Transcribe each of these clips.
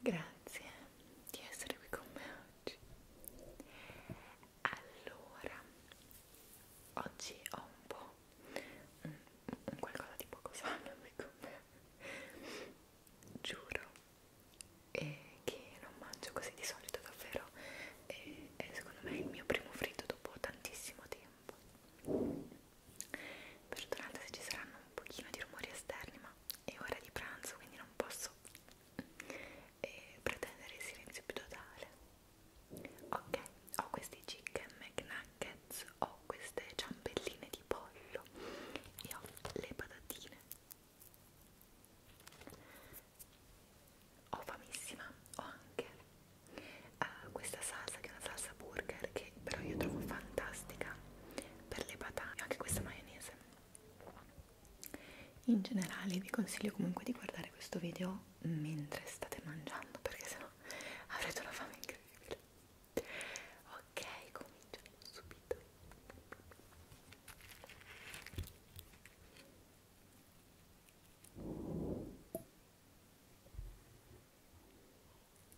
Grazie di essere qui con me oggi. Allora, oggi ho un po' un, un qualcosa di poco sano qui con me. Giuro eh, che non mangio così di solito davvero. Eh, è secondo me il mio primo fritto dopo tantissimo tempo. Perdonate se ci saranno un pochino di rumori esterni, ma è ora di pranzo quindi non posso eh, pretendere il silenzio più totale ok ho questi chicken McNuggets ho queste ciambelline di pollo e ho le patatine ho famissima ho anche uh, questa salsa che è una salsa burger che però io trovo fantastica per le patate, anche questa maionese. In generale vi consiglio comunque di guardare questo video mentre state mangiando perché sennò avrete una fame incredibile. Ok, cominciamo subito.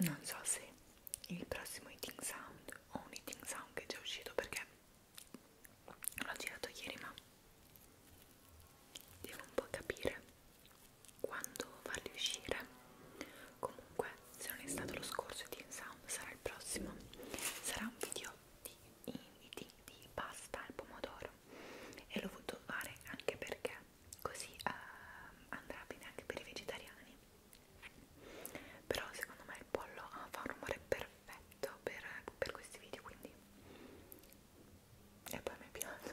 non so se il prossimo eating sound o un eating sound che è già uscito perché l'ho girato ieri ma devo un po' capire quando farli uscire comunque se non è stato lo scorso di Sound sarà il prossimo sarà un video di inviti di pasta al pomodoro e l'ho voluto fare anche perché così uh, andrà bene anche per i vegetariani però secondo me il pollo ah, fa un rumore perfetto per, per questi video quindi e poi mi piace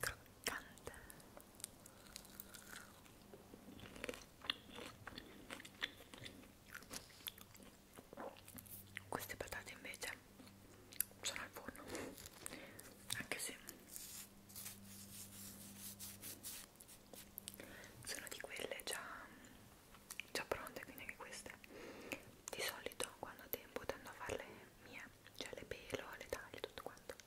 croccante queste patate invece sono al forno anche se sono di quelle già, già pronte quindi anche queste di solito quando ho tempo tendo a farle mie cioè le pelo, le taglio tutto quanto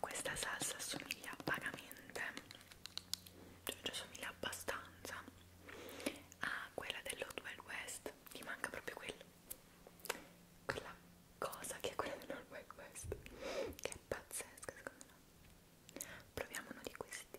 Questa salsa assomiglia vagamente, cioè ci assomiglia abbastanza a quella dell'Old Wild West, mi manca proprio quello, quella cosa che è quella dell'Old Wild West, che è pazzesca secondo me. Proviamo uno di questi.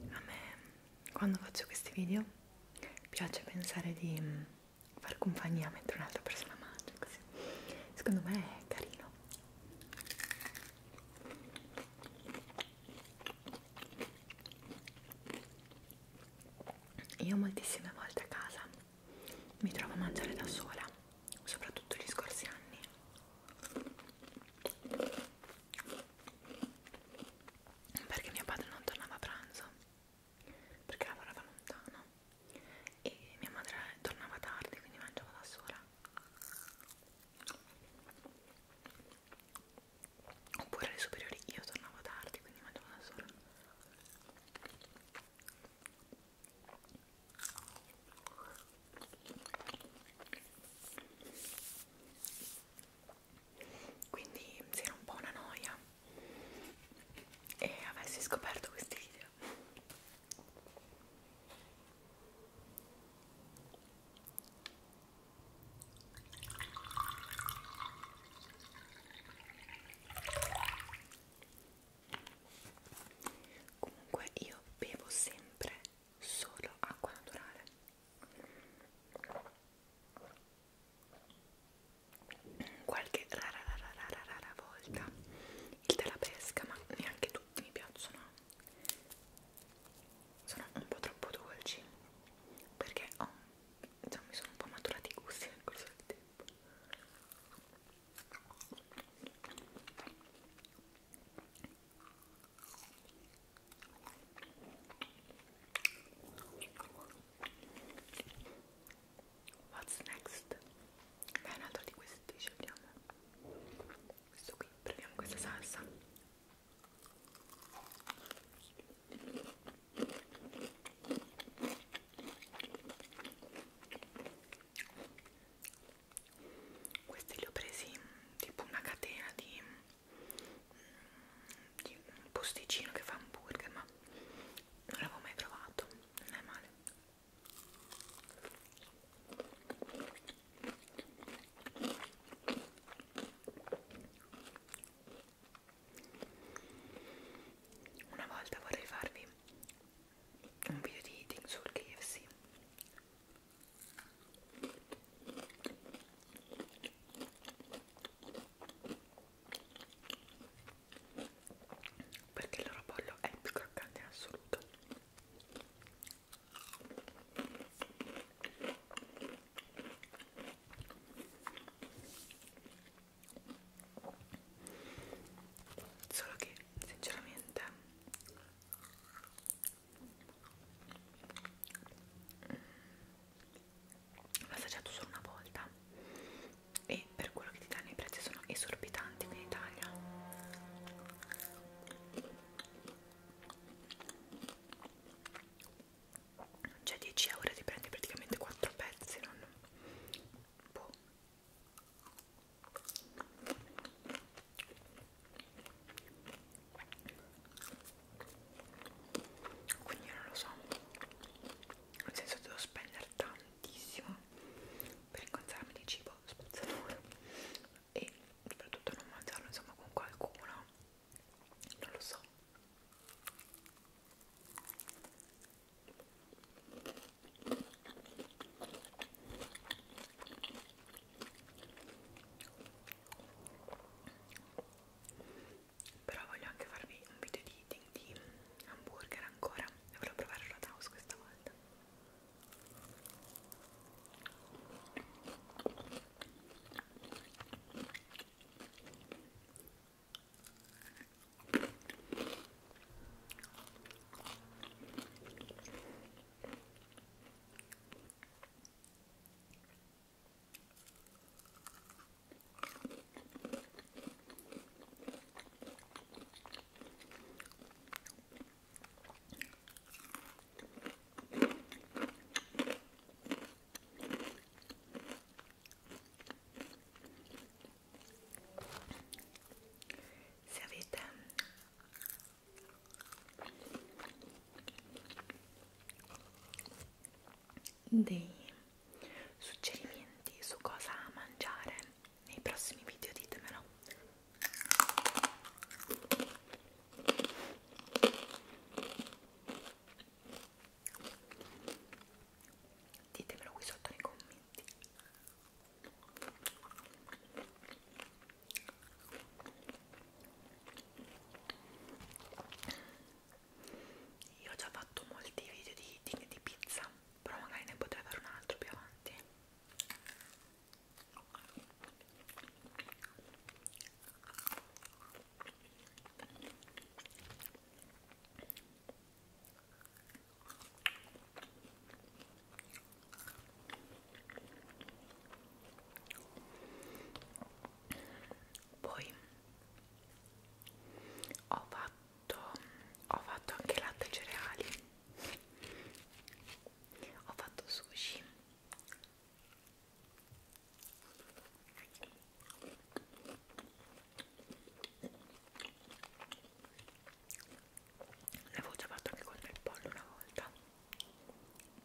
A me, quando faccio questi video, piace pensare di mm, far compagnia mentre un'altra persona mangia, così. Secondo me è carino. Io moltissime volte a casa mi trovo a mangiare da sola, soprattutto gli scorsi anni perché mio padre non tornava a pranzo perché lavorava lontano e mia madre tornava tardi quindi mangiava da sola oppure alle superiori io tornavo tardi quindi mangiavo da sola quindi si era un po' una noia e avessi scoperto questi video comunque io bevo sempre solo acqua naturale qualche rara rara rara rara volta il della pesca ma neanche tutti mi piacciono sono un po' troppo dolci perché ho, insomma, mi sono un po' maturati i gusti nel corso del tempo What's next? Beh, un altro di questi scegliamo. Questo qui, prendiamo questa salsa. Questi li ho presi tipo una catena di di un posticino che fa hamburger, ma non l'avevo mai provato, non è male. Una volta vorrei farvi un video di eating sul KFC perché il loro pollo è il più croccante in assoluto solo che sinceramente l'ho assaggiato solo una volta e per quello che ti danno i prezzi sono esorbitanti qui in Italia cioè 10 euro ti prendi praticamente 4 pezzi non boh quindi non lo so nel senso devo spendere tantissimo per incontrarmi di cibo spazzatura e soprattutto non mangiarlo insomma con qualcuno non lo so però voglio anche farvi un video di eating di hamburger ancora devo provare la Taos questa volta se avete dei suggerimenti su cosa mangiare nei prossimi video ditemelo ditemelo qui sotto nei commenti io ho già fatto molti video di eating di pizza, però magari ne potrei fare un altro più avanti poi ho fatto ho fatto anche latte e cereali ho fatto sushi ne avevo già fatto anche con il pollo una volta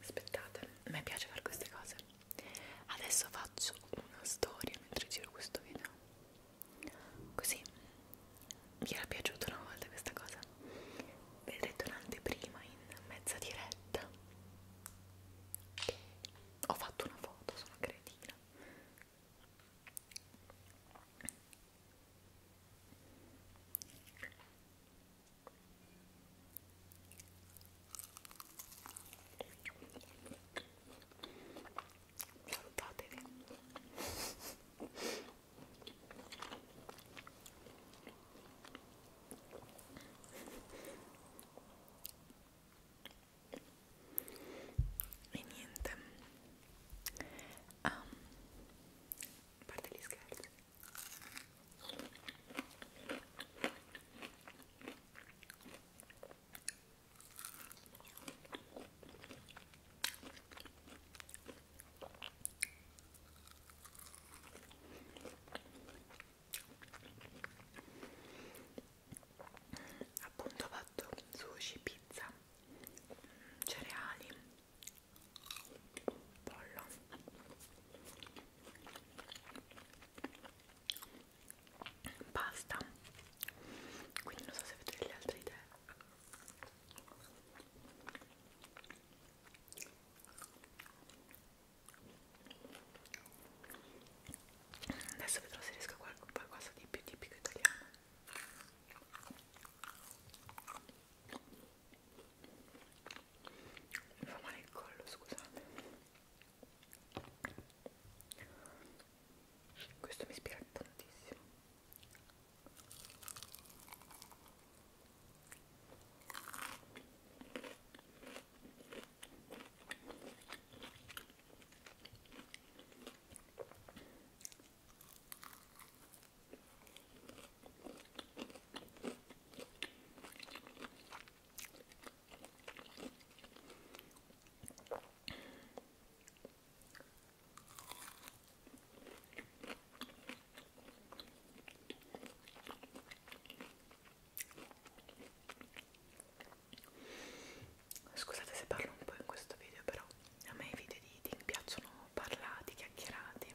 aspettate, a me piace fare queste cose adesso faccio una storia mentre giro questo video così mi era piaciuta una volta questa cosa vedrete un'anteprima in mezza diretta ho fatto una foto, sono cretina salutatevi e niente um, a parte gli scherzi appunto ho fatto sushi, pizza, cereali, pollo basta quindi non so se avete delle altre idee adesso vedrò se riesco a qualcosa di più tipico italiano mi fa male il collo, scusate. Questo mi ispira tantissimo. Scusate se parlo un po' in questo video, però a me i video di eating piacciono parlati, chiacchierati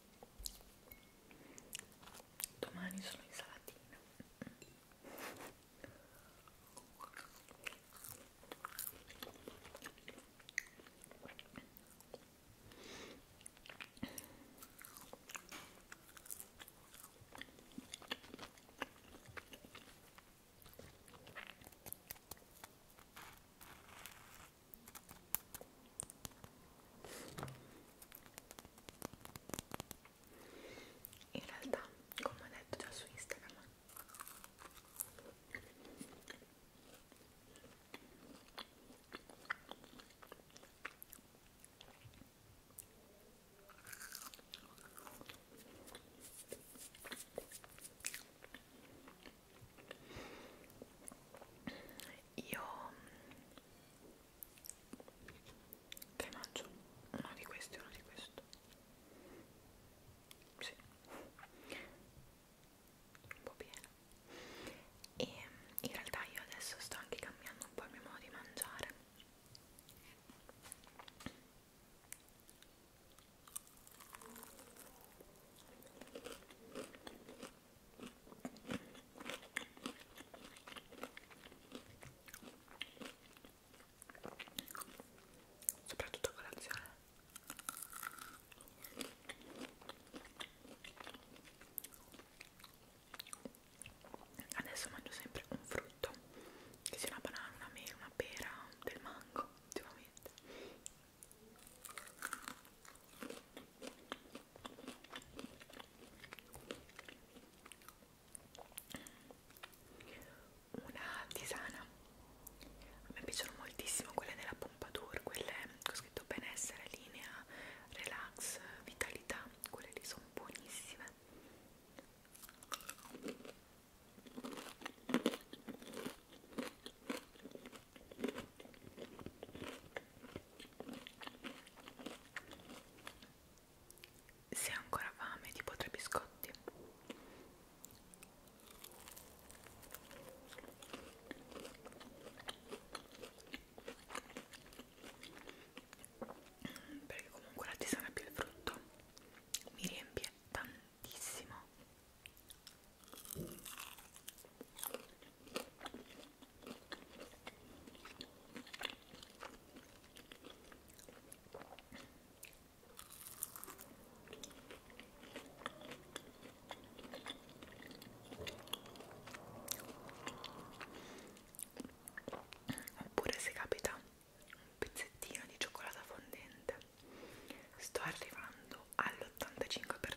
Domani sono in salatina in realtà come ho detto già su Instagram io mm, che mangio? uno di questi uno di questo sì un po' pieno e in realtà io adesso sto anche cambiando un po' il mio modo di mangiare soprattutto a colazione adesso mangio sempre un frutto che sia una banana, una mela, una pera, del mango ultimamente una tisana a me piacciono moltissimo quelle della Pompadour quelle ho scritto benessere, linea, relax, vitalità quelle lì sono buonissime se ha ancora fame, tipo tre biscotti. Perché comunque la tisana più il frutto mi riempie tantissimo Oppure se capita un pezzettino di cioccolata fondente sto arrivando all'85%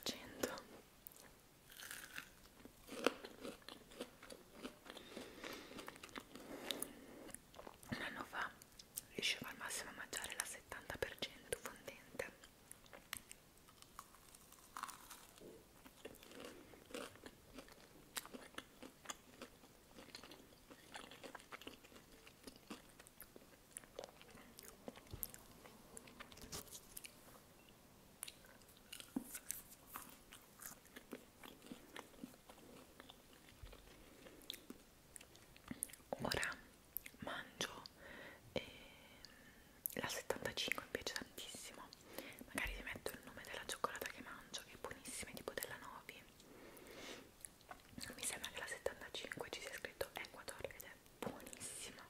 un anno fa riuscivo al massimo a mangiare la 70% fondente Ora mangio eh, la 75 mi piace tantissimo. Magari vi metto il nome della cioccolata che mangio, che è buonissima, tipo della Novi. Mi sembra che la 75 ci sia scritto Ecuador ed è buonissima.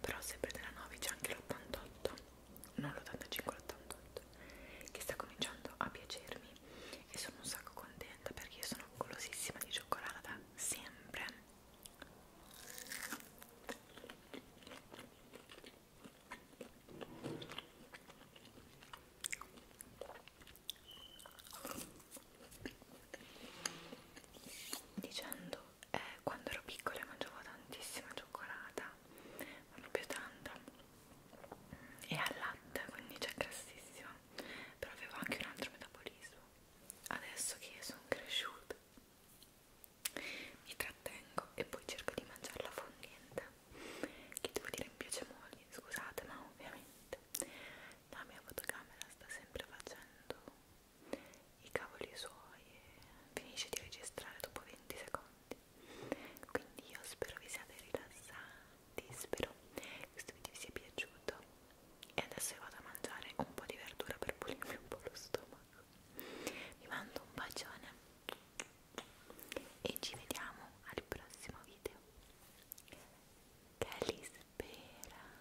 però sempre della 9 c'è anche l'88 non l'85 l'88 che sta cominciando a piacermi e sono un sacco contenta perché io sono golosissima di cioccolata da sempre dicendo eh, quando ero piccola mangiavo tantissima cioccolata ma proprio tanta e al latte quindi c'è grassissima però avevo anche un altro metabolismo adesso che sono cresciuta mi trattengo e poi cerco di mangiarla fondente che devo dire mi piace molto scusate ma ovviamente la mia fotocamera sta sempre facendo i cavoli suoi e finisce di registrare dopo 20 secondi quindi io spero vi siate rilassati spero che questo video vi sia piaciuto e adesso io vado a mangiare un po' di verdura per pulirmi un po' lo stomaco vi mando un bacione e ci vediamo al prossimo video che li spera